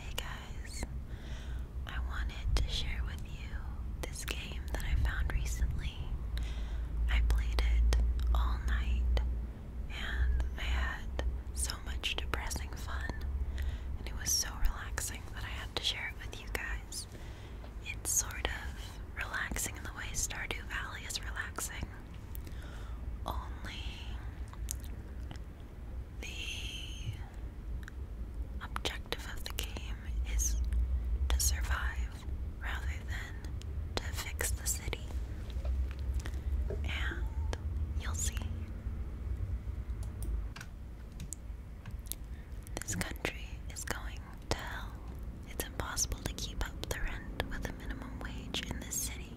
Hey guys, I wanted to share with you this game that I found recently. I played it all night and I had so much depressing fun, and it was so relaxing that I had to share it with you guys. It's sort of relaxing in the way Stardew Valley is relaxing. Only the objective of the game is to survive rather than to fix the city. And you'll see. This country is going to hell. It's impossible to keep up the rent with the minimum wage in this city.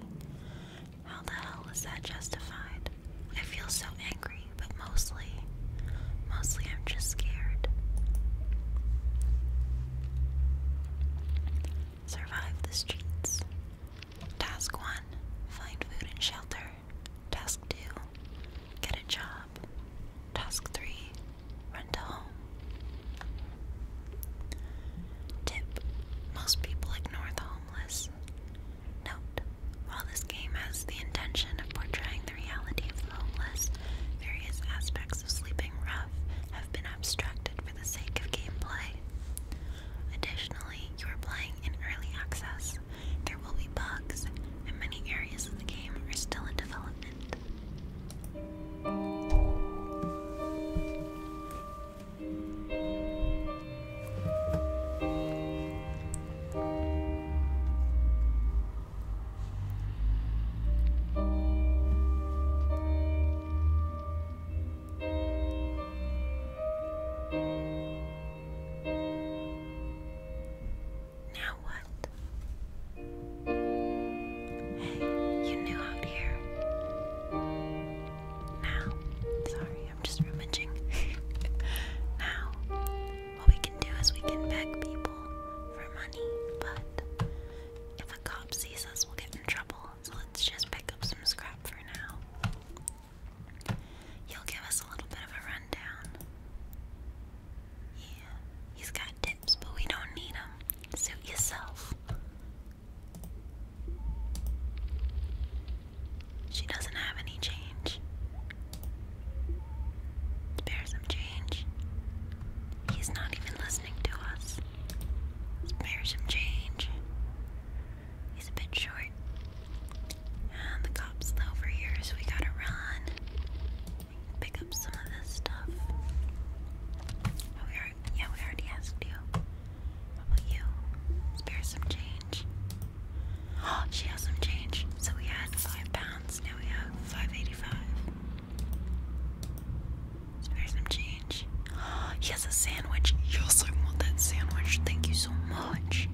How the hell is that justified? I feel so angry, but mostly, mostly I'm just scared. Survive the streets. Task 1 Find food and shelter. Task 2 Get a job. Task 3 Run to home. Tip Most people ignore the home while this game has the intention of portraying the reality of the homeless, various aspects of sleeping rough have been abstracted for the sake of gameplay. Additionally, you are playing in early access. There will be bugs, and many areas of the game are still in development. Now what? Hey, you knew out here. Now, sorry, I'm just rummaging. now, what we can do is we can beg people for money, but if a cop sees us, we'll get in trouble. So let's just pick up some scrap for now. You'll give us a little bit of a rundown. Yeah, he's got tips, but we don't need them. Suit yourself. She doesn't have any change. Spare some change. He's not even listening to us. Spare some change. He's a bit short. And the cop's over here, so we gotta run. Pick up some of this stuff. Oh, we yeah, we already asked you. How about you? Spare some change. Oh, she has some change. So we had five pounds, now we have five eighty-five. Spare some change. Oh, he has a sandwich. Yes, I want that sandwich. Thank you so much.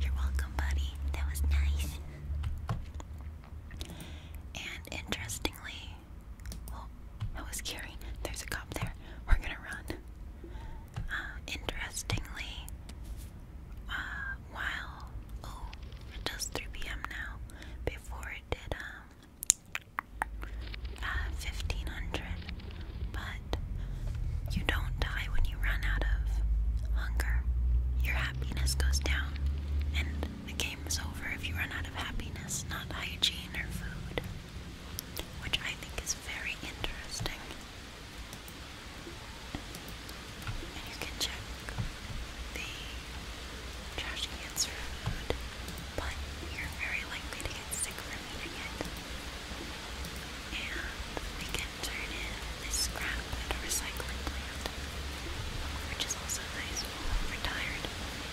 You're welcome, buddy. That was nice. And interestingly, Oh, that was scary. There's a cop there. We're gonna run. Uh, interestingly, uh, while oh, it does 3 p.m. now. Before it did um 1500, uh, but you don't die when you run out of hunger. Your happiness goes down, and the game is over if you run out of happiness, not hygiene or food which I think is very interesting. And you can check the trash cans for food, but you're very likely to get sick from eating it. And we can turn in this scrap at a recycling plant, which is also nice we're tired.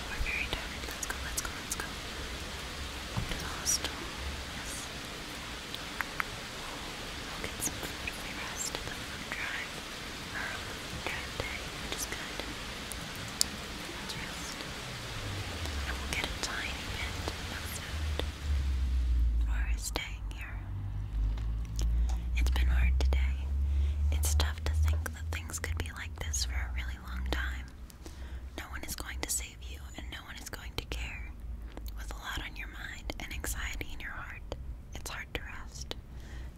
We're very tired. Let's go, let's go, let's go. To We'll get some food we rest at the food drive. Or drive day, which is good. Let's rest. And we'll get a tiny bit of food for staying here. It's been hard today. It's tough to think that things could be like this for a really really long time. No one is going to save you, and no one is going to care. With a lot on your mind and anxiety in your heart, it's hard to rest.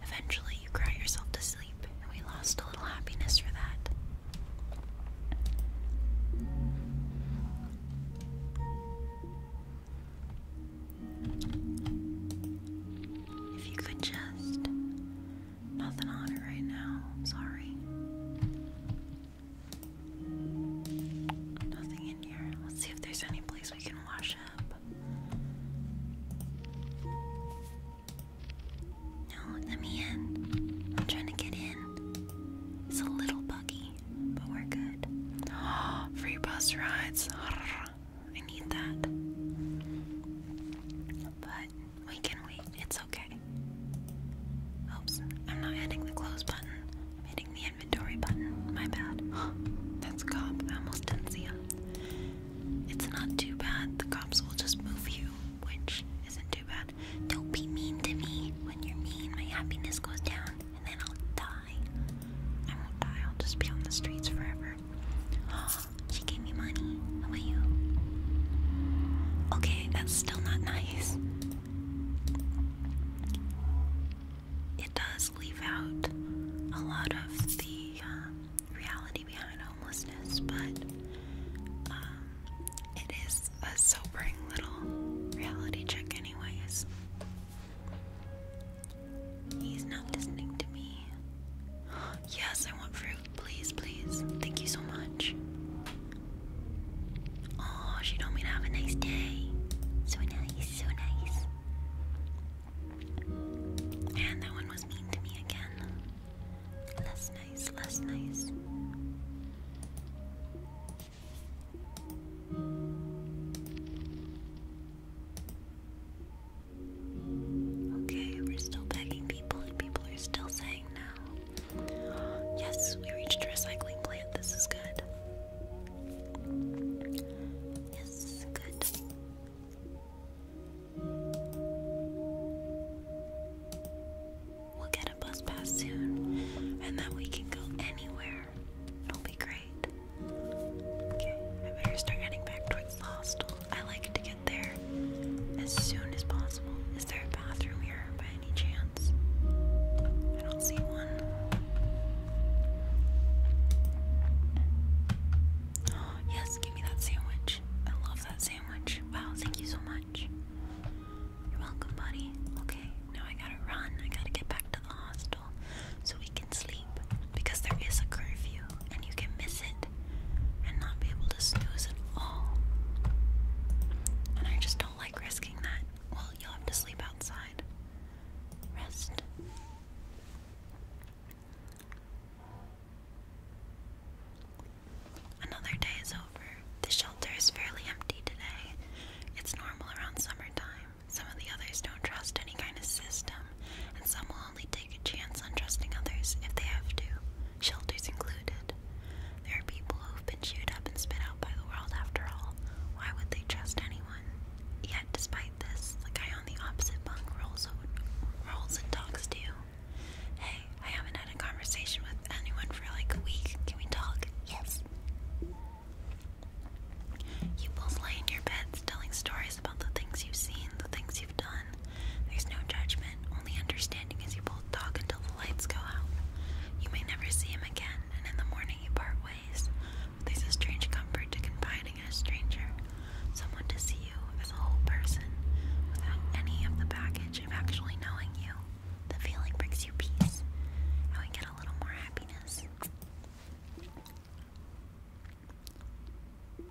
Eventually, you cry yourself to sleep, and we lost a little happiness for that. If you could just Nothing on it right now. sorry. Nothing in here. Let's see if there's any place we can wash up. No, let me in. I'm trying to get in. It's a little buggy, but we're good. free bus rides. I need that. But we can wait. It's okay. Oops. I'm not hitting the close button. hitting the inventory button. My bad. That's cop. I almost didn't see him. It's not too bad. The cops will just move you, which isn't too bad. Don't be mean to me. When you're mean, my happiness goes down, and then I'll die. I won't die. I'll just be on the streets forever her. she gave me money. How about you? Okay, that's still not nice. It does leave out a lot of the um, reality behind homelessness, but um, it is a sobering little reality check, anyways. He's not listening to me. Yes, I want fruit. Please, please. Thank you so much. Oh, she told me to have a nice day. So nice, so nice. And that one was mean to me again. Less nice, less nice. Okay, we're still begging people, and people are still saying no. Yes, we reached a recycling plant. This is good. Yes, good. We'll get a bus pass soon, and then we can go anywhere. It'll be great. Okay, I better start heading back towards the hostel. I like to get there as soon as possible. Is there a bathroom here by any chance? I don't see one. yes, give me that sandwich. I love that sandwich. Wow, thank you so much. You're welcome, buddy. Okay, now I gotta run. I gotta get back to the hostel so we can sleep because there is a curfew and you can miss it and not be able to snooze at all. And I just don't like risking that. Well, you'll have to sleep outside. Rest. Another day is over. The shelter is fairly empty today. It's normal around summertime. Some of the others don't trust any kind of system, and some will only take a chance on trusting others if they have to, shelters included. There are people who've been chewed up and spit out by the world after all. Why would they trust anyone? Yet, despite this, the guy on the opposite bunk rolls, rolls and talks to you. Hey, I haven't had a conversation with anyone for like a week. Can we talk? Yes. You both lay in your beds telling stories about the things you've seen, the things there's no judgment, only understanding as you both talk until the lights go out. You may never see him again, and in the morning you part ways. But there's a strange comfort to confiding in a stranger, someone to see you as a whole person, without any of the baggage of actually knowing you. The feeling brings you peace, and we get a little more happiness. Now,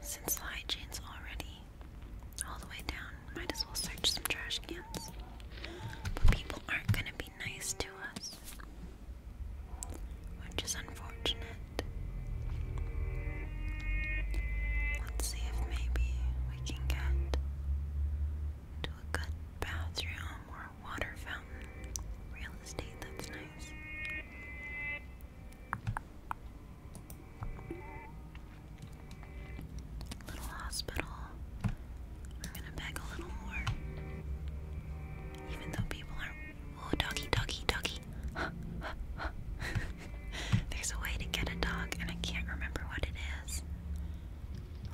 since the hygiene's already all the way down, might as well search some trash cans. But people aren't gonna be nice to us, which is unfortunate. Let's see if maybe we can get to a good bathroom water fountain. Real estate, that's nice. Little hospital. We're gonna beg a little more. Even though people are Oh, doggy, doggy, doggy. There's a way to get a dog, and I can't remember what it is.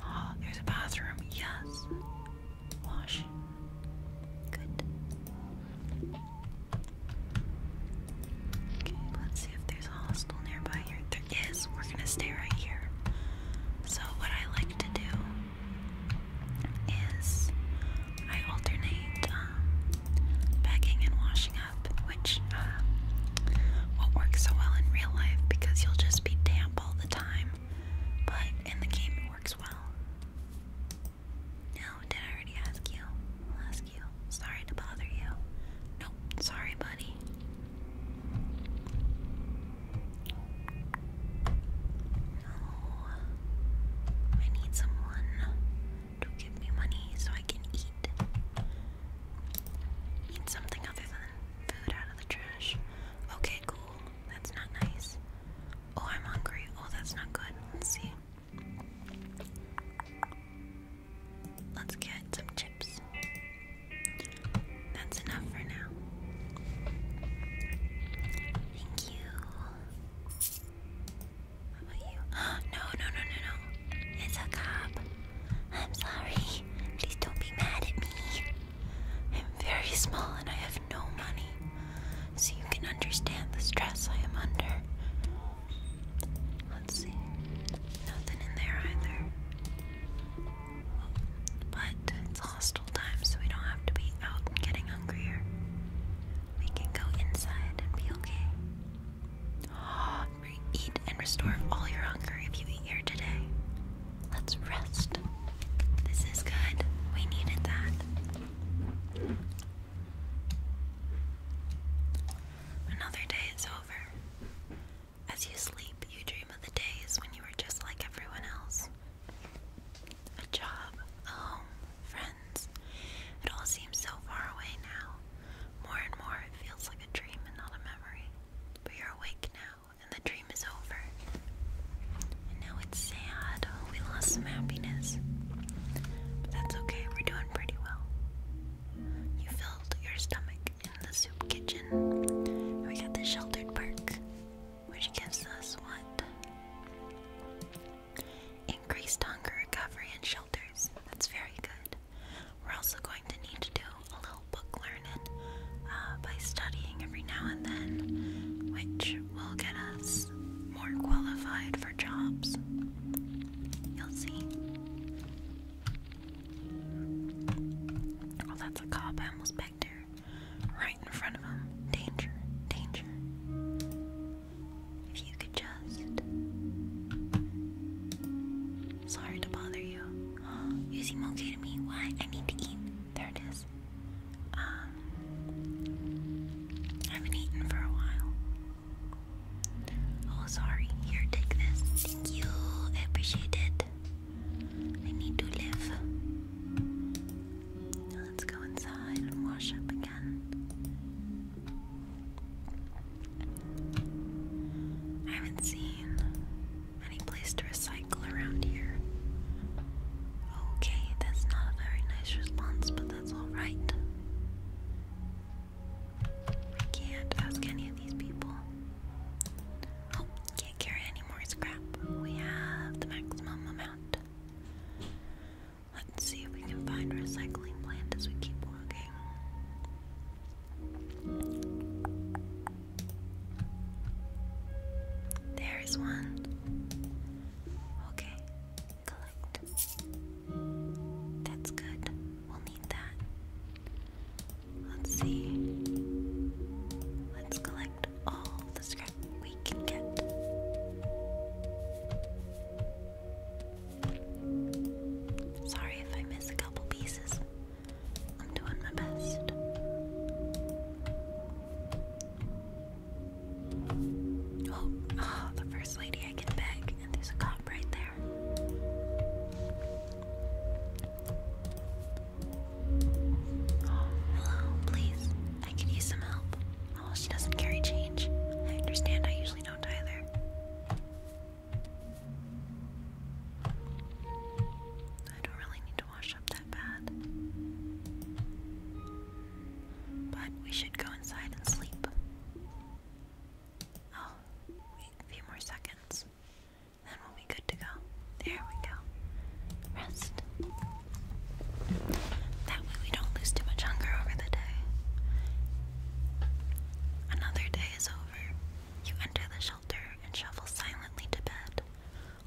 Oh, there's a bathroom. Yes. Wash. Good. Okay, let's see if there's a hostel nearby here. There is. We're gonna stay right here. So what I like to do is I alternate um, packing and washing up, which uh, um, won't work so well in real life because you'll just be damp all the time but in the game it works well. No, did I already ask you? ask you. Sorry to bother you. Nope, sorry, buddy. No, I need someone to give me money so I can eat. Eat something other than food out of the trash. Okay, cool that's not nice. Oh, I'm hungry. Oh, that's not good. Let's see. Let's get some chips. That's enough for now. Thank you. How about you? No, no, no, no, no. It's a cop. I'm sorry. Please don't be mad at me. I'm very small and I have no money, so you can understand the stress I am under. Let's see. Nothing in there either. But it's hostile time, so we don't have to be out getting hungrier. We can go inside and be okay. Eat and restore all your hunger if you eat here today. Let's rest. This is good. We needed that. Another day is over. As you sleep, you dream of the days when you were just like everyone else. A job, a home, friends. It all seems so far away now. More and more, it feels like a dream and not a memory. But you're awake now, and the dream is over. And now it's sad. we lost some happiness. But that's okay, we're doing pretty well. You filled your stomach in the soup kitchen. we got the sheltered perk, which gives us what? Increased hunger recovery and shelters. That's very good. We're also going to need to do a little book learning uh, by studying every now and then, which will get us more qualified for jobs. You'll see. Oh, that's a cop. I almost pegged her. Right in front of him. Danger. Danger. If you could just. Sorry to bother you. You seem okay to me. Why? I need to eat. There it is. Um, I haven't eaten for a while. Oh, sorry. Here, take this. Thank you. I I need to live. let's go inside and wash up again. I haven't seen any place to recycle around here? Okay, that's not a very nice response, but that's alright. I can't ask any of these people. Oh, can't carry any more scrap. We have the maximum amount. Let's see if we can find a recycling plant as we keep walking. There is one. Okay, collect. That's good. We'll need that. Let's see. Let's collect all the scrap we can get. Sorry if I miss a couple pieces. I'm doing my best. Oh, oh the first lady I can beg, and there's a cop right there. hello, please. I could use some help. Oh, she doesn't carry change. I understand, I usually don't either. I don't really need to wash up that bad. But we should go inside and sleep. Oh, wait a few more seconds. Then we'll be good to go. There we go. Rest. That way we don't lose too much hunger over the day. Another day is over. You enter the shelter and shuffle silently to bed.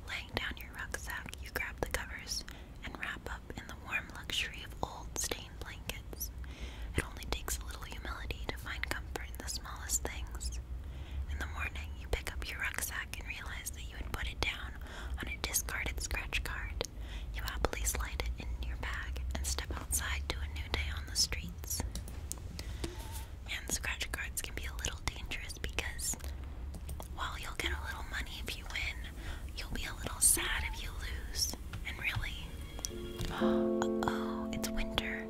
Laying down your rucksack, you grab the covers and wrap up in the warm luxury of old stained blankets. It only takes a little humility to find comfort in the smallest things. In the morning, you pick up your rucksack and realize that you had put it down on a discarded scratch card. You happily slide it in your bag and step outside to a new day on the streets and scratch cards can be a little dangerous because while you'll get a little money if you win, you'll be a little sad if you lose. And really, uh oh, it's winter.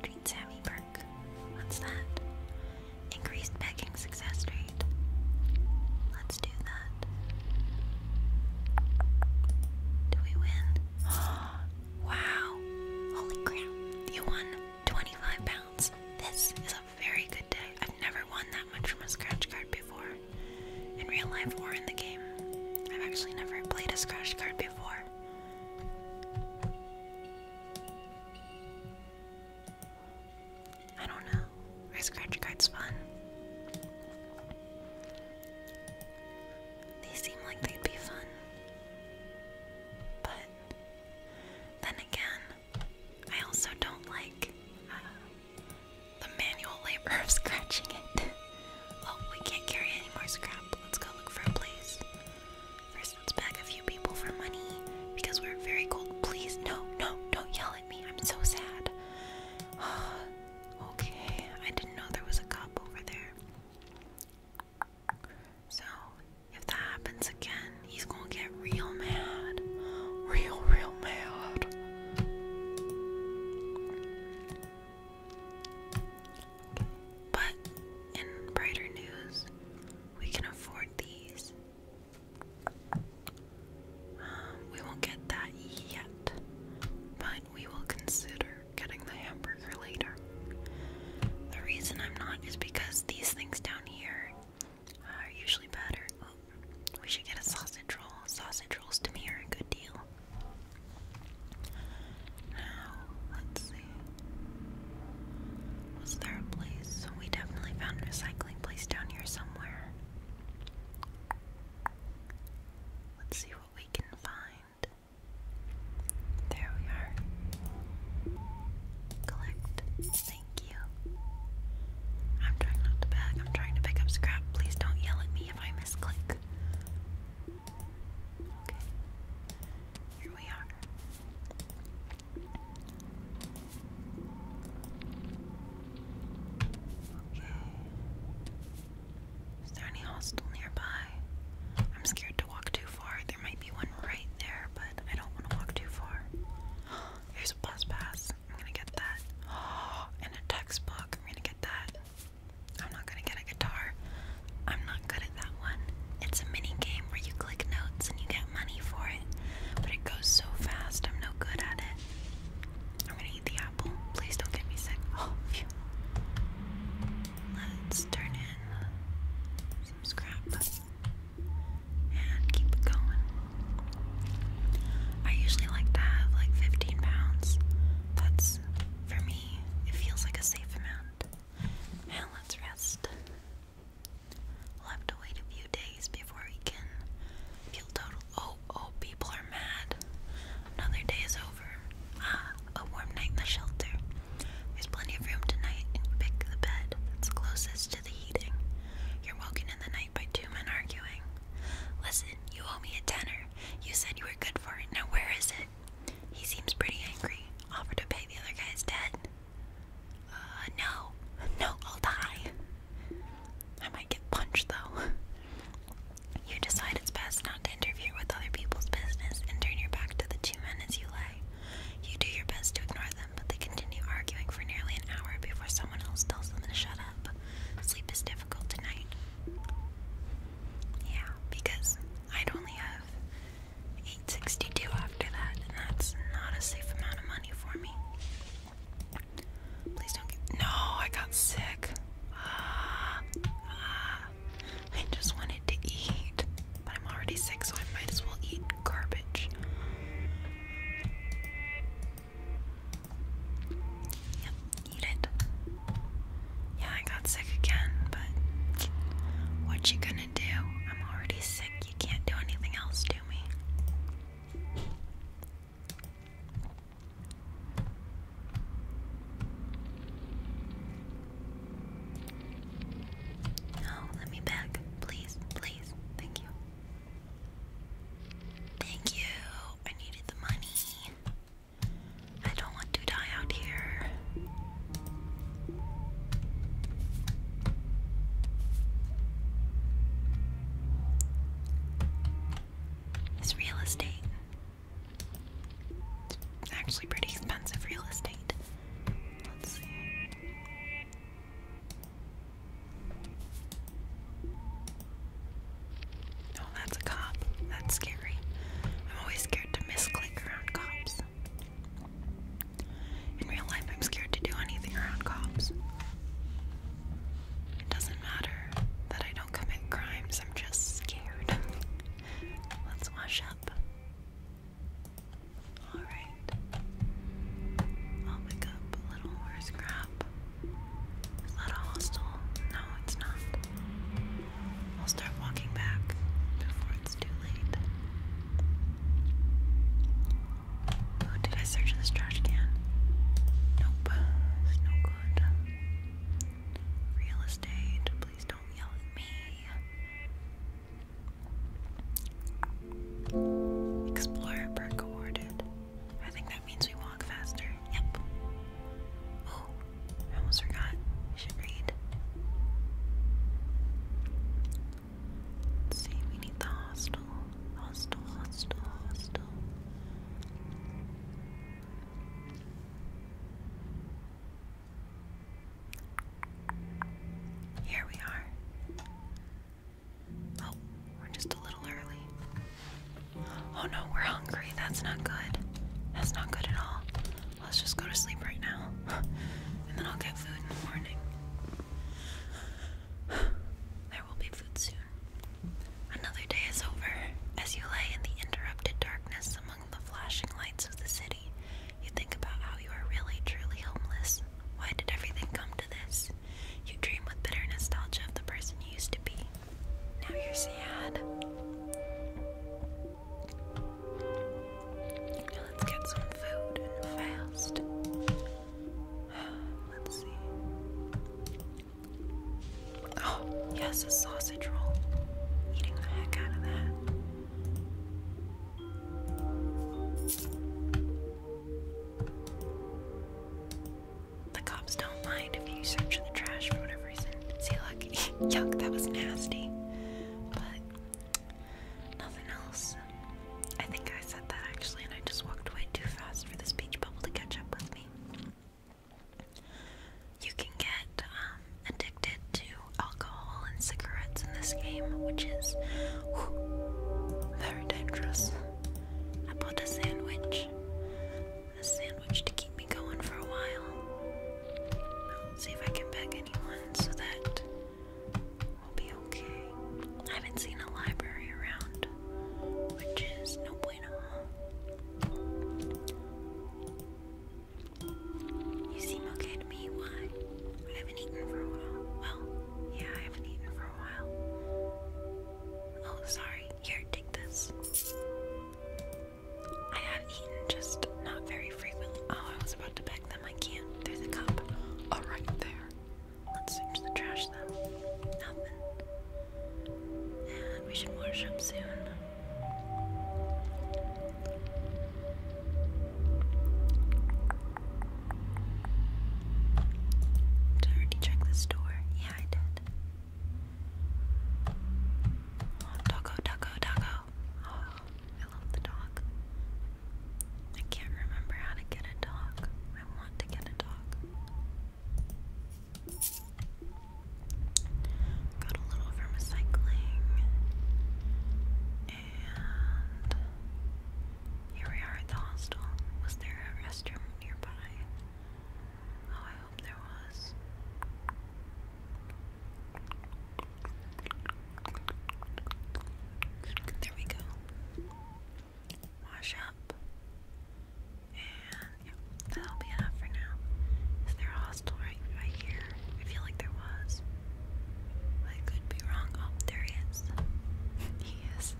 Street Sammy perk. What's that? Increased begging success rate. Let's do that. Do we win? Wow. Holy crap. You won 25 pounds. This is a very good day. I've never won that much from a scratch card before. In real life or in the game. I've actually never played a scratch card before. I don't know. Our scratch card's fun. They seem like they'd be fun. But then again, I also don't like uh, the manual labor of scratching it. oh, we can't carry any more scrap. Let's go look for a place. First, let's beg a few people for money because we're very cold. Please, no, no, don't yell at me. I'm so sad. okay, I didn't know there was a cop over there. So, if that happens again, he's gonna get real mad. Real, real mad. But in brighter news, we can afford these. Um, we won't get that yet, but we will consider getting the hamburger later. The reason I'm not is because these things down here are usually better. we should get a sausage roll. Sausage rolls to me are a good deal. Now, let's see. Was there a place? We definitely found a recycling place down here somewhere. Let's see what we can find. There we are. Collect. Thank you. I'm trying not to bag. I'm trying to pick up scrap. Please don't yell at me if I misclick. Okay. Here we are. Is there any hostel nearby? I'm scared to walk too far. There might be one right there, but I don't want to walk too far. Here's a bus pass. I'm gonna get that. Oh, And a textbook. I'm gonna get that. I'm not gonna get a guitar. I'm not good at that one. It's a mini game where you click notes and you get money for it, but it goes so fast. I'm no good at it. I'm gonna eat the Please don't get me sick. Let's turn in some scrap and keep it going. I usually like to have like 15 pounds. That's, for me, it feels like a safe amount. Now let's rest. We'll have to wait a few days before we can feel total. Oh, oh, people are mad. Another day is over. Ah, a warm night in the shelter. There's plenty of room tonight, pick the bed that's closest to the heating. You're woken in the night by two men arguing. Listen, you owe me a tenner. You said you were good for it. Now where is it? He seems pretty angry. Offer to pay the other guy's debt. Uh, no. No, I'll die. I might get punched though. You decide it's best not to interfere with other people's business and turn your back to the two men as you lay. You do your best to ignore them, but they continue arguing for nearly an hour before someone else tells them to shut up. Sleep is difficult tonight. Yeah, because I'd only have 862 after that, and that's not a safe amount of money for me. Please don't No, I got sick. Ah, I just wanted to eat, but I'm already sick, so I might as well eat garbage. Yep, eat it. Yeah, I got sick again, but what you gonna do? I'm already sick. You can't do anything else to me. No, let me back. Please, please. Thank you. Thank you. I needed the money. I don't want to die out here. It's real estate. It's actually pretty expensive real estate. Let's see. Oh, that's a cop. That's scary. I'm always scared to misclick around cops. In real life, I'm scared to do anything around cops. It doesn't matter that I don't commit crimes, I'm just scared. Let's wash up. Alright. I'll pick up a little horse crap. Is that a hostel? No, it's not. I'll start walking back before it's too late. did I search this trash can? Nope. It's no good. Real estate, please don't yell at me. Explorer perk awarded. I think that means we walk faster. Yep. Oh, almost forgot. should read. Let's we need the hostel. Hostel, hostel, hostel. Here we are. Oh, we're just a little early. Oh no, we're hungry. That's not good. That's not good at all. Let's just go to sleep right now. And then I'll get food in the morning. There will be food soon. Another day is over. As you lay in the interrupted darkness among the flashing lights of the city, you think about how you are really, truly homeless. Why did everything come to this? You dream with bitter nostalgia of the person you used to be. Now you're sad. let's get some food fast. Let's see. Oh, yes, a sausage roll. Eating the heck out of that. The cops don't mind if you search the trash for whatever reason. See, look, yuck, that was nasty. But nothing else. I think I said that actually, and I just walked away too fast for this beach bubble to catch up with me. You can get um, addicted to alcohol and cigarettes in this game, which is very dangerous. I bought a sandwich, a sandwich to keep me going for a while. see if I can beg anyone so that we'll be okay. I haven't seen a library around, which is nope. You seem okay to me. Why? I haven't eaten for a while. Well, yeah, I haven't eaten for a while. Oh, sorry. Here, take this. I have eaten, just not very frequently. Oh, I was about to beg them. I can't. There's a cup. Oh, right there. Let's search the trash then. Nothing. And we should worship soon. Did I already check this door? Yeah, I did. Oh, taco, taco, Oh, I love the dog. I can't remember how to get a dog. I want to get a dog. Got a little from recycling. And here we are at the hostel. Was there a restroom nearby? Oh, I hope there was. There we go. Wash up. And that'll be enough for now. Is there a hostel right right here? I feel like there was. I could be wrong. Oh, there is. he is.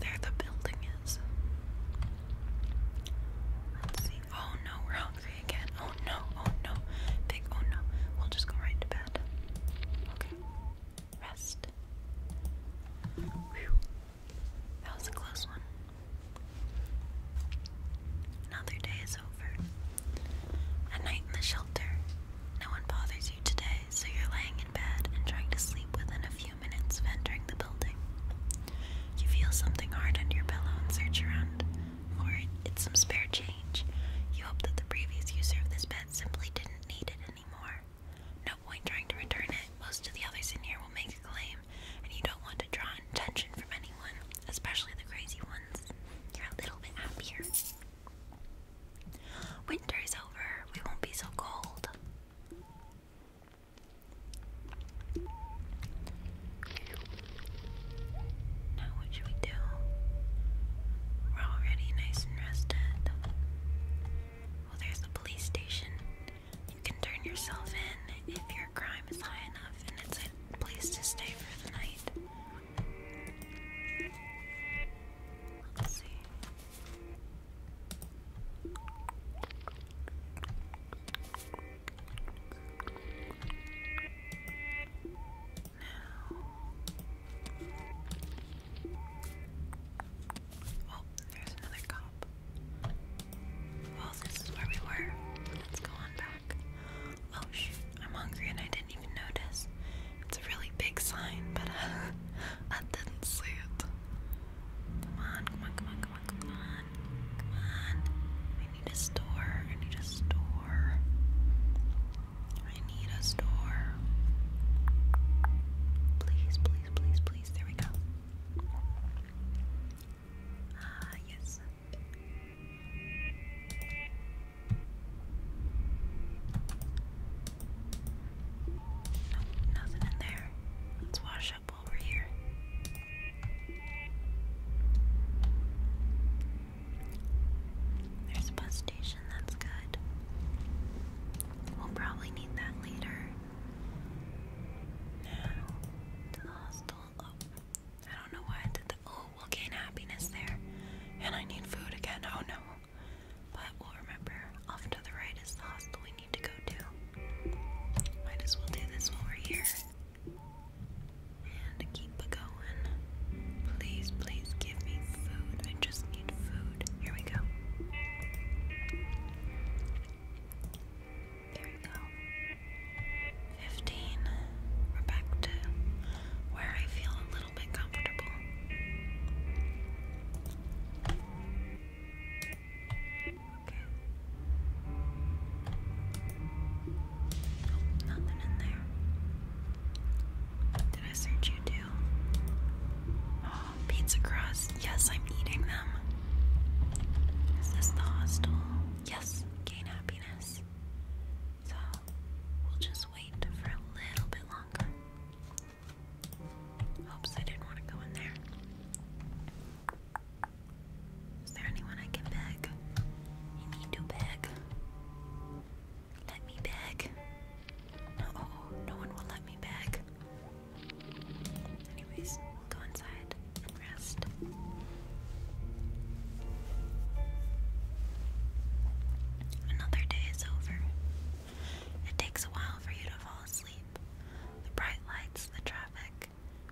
There the building is. Let's see. Oh no, we're hungry again. Oh no, oh no. Big oh no. We'll just go right to bed. Okay. Rest. That was a close one. Another day is over. A night in the shelter. No one bothers you today, so you're laying in bed and trying to sleep within a few minutes of entering the building. You feel something hard under your pillow and search around for It's some spare change. You hope that the previous user of this bed simply didn't need it anymore. No point trying to return it. Most of the others in here will make a claim, and you don't want to draw attention from anyone, especially the crazy ones. You're a little bit happier. Winter is over. We won't be so cold. Now, what should we do? We're already nice and rested. Well, there's the police station. You can turn yourself in if your crime is high enough and it's a place to stay for the night. Let's see. Now. Oh, there's another cop. Well, this is where we were. Let's go on back. Oh shoot, I'm hungry and I didn't even notice. It's a really big sign, but I didn't see it. Come on, come on, come on, come on, come on. Come on. I need a store. I need a store. I need a store. Please, please, please, please. There we go. Ah, yes. No, nothing in there. Let's wash up while we're here. There's a bus station, that's good. We'll probably need that later. Now, to the hostel. Oh, I don't know why I did the. Oh, we'll gain happiness there. And I need food again. Oh no. But we'll remember off to the right is the hostel we need to go to. Might as well do this while we're here. And keep going. Please, please give me food. I just need food. Here we go. There we go. 15. We're back to where I feel a little bit comfortable. Okay. nothing in there. Did I search you Oh, pizza crust. Yes, I'm eating them. Is this the hostel? Yes, gain happiness. So we'll just wait for a little bit longer. Oops, I didn't want to go in there. Is there anyone I can beg? You need to beg. Let me beg. No, no one will let me beg. Anyways, go inside and rest. Another day is over. It takes a while for you to fall asleep. The bright lights, the traffic.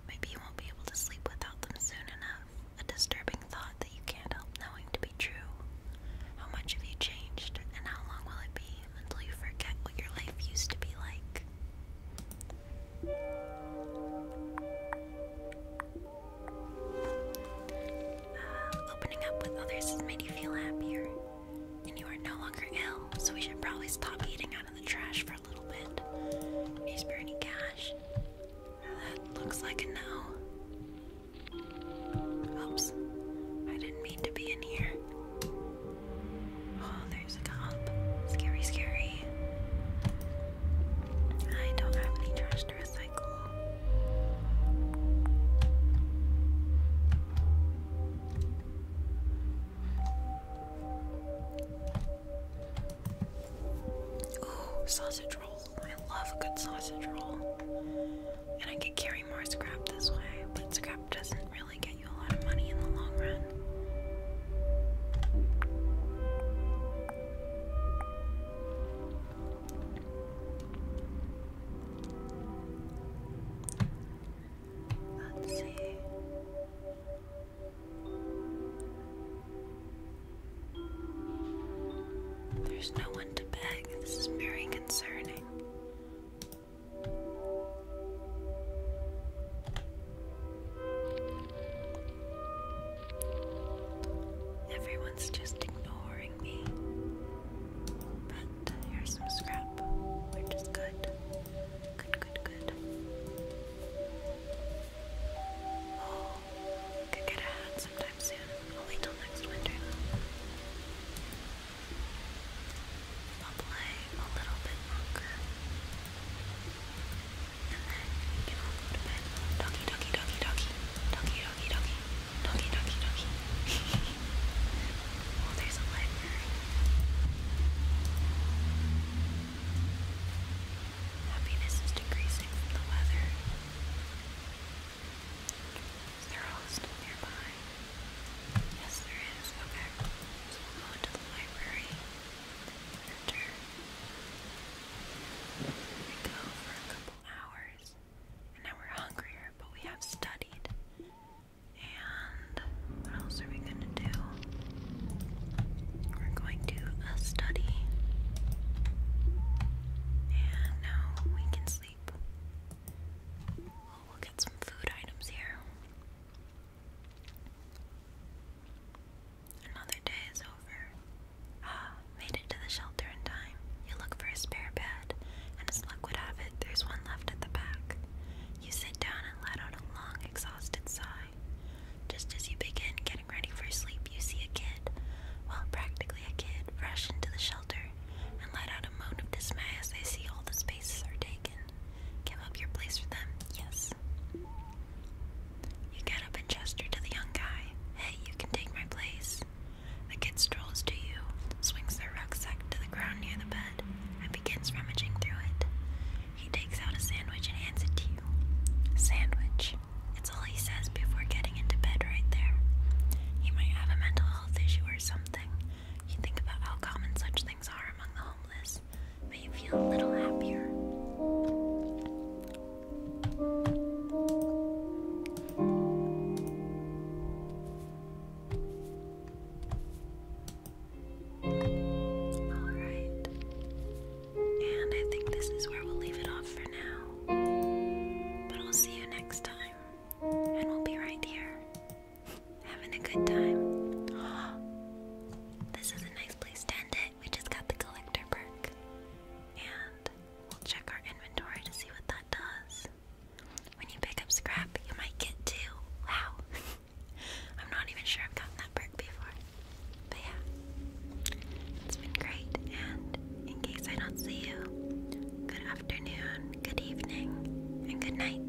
Maybe you won't be able to sleep without them soon enough. A disturbing thought that you can't help knowing to be true. How much have you changed, and how long will it be until you forget what your life used to be like. Uh, opening up with others has made you feel happier, and you are no longer ill, so we should probably stop eating out of the trash for a little bit. Is there cash? Uh, that looks like a no. Oops, I didn't mean to be in here. Oh, there's a cop. Scary, scary. I don't have any trash to recycle. Oh, sausage roll. I love a good sausage roll. And I could carry more scrap this way, but scrap doesn't really get you a lot of money in the long run. Let's see. There's no one to beg. This is very concerning. Everyone's just ignoring me. But here's some scrap, which is good. Good, good, good. Oh, could get a sometime soon. I'll wait till next winter. I'll play a little bit longer. And then you can all go to Doggy, doggy, doggy, doggy. Doggy, doggy, doggy. Doggy, doggy, doggy. oh, there's a library. Happiness is decreasing from the weather. Is there a hostel nearby? Yes, there is. Okay. So we'll go into the library. Enter. We go for a couple hours. And now we're hungrier, but we have studied. And what else are we gonna do? We're going to uh, study. And now we can sleep we'll get some food items here. Another day is over. Ah, made it to the shelter in time. You look for a spare bed, and as luck would have it, there's one left at the back. You sit down and let out a long, exhausted sigh. Just as you begin getting ready for sleep, you see a kid, well, practically a kid, rush into the shelter and let out a moan of dismay as they see all the spaces are taken. Give up your place for them, yes. You get up and gesture to the young guy. Hey, you can take my place. The kid strolls to you, swings their rucksack to the ground near the bed, and begins rummaging through it. He takes out a sandwich and hands it to you. Sandwich. It's all he says before getting into bed right there. He might have a mental health issue or something. You think about how common such things are among the homeless, but you feel a little happier. Alright. And I think this is where we'll leave it off for now. But we'll see you next time and we'll be right here having a good time. This is a nice place to end it. We just got the collector perk, and we'll check our inventory to see what that does. When you pick up scrap, you might get two. Wow. I'm not even sure I've gotten that perk before. But yeah, it's been great. And in case I don't see you, good afternoon, good evening, and good night.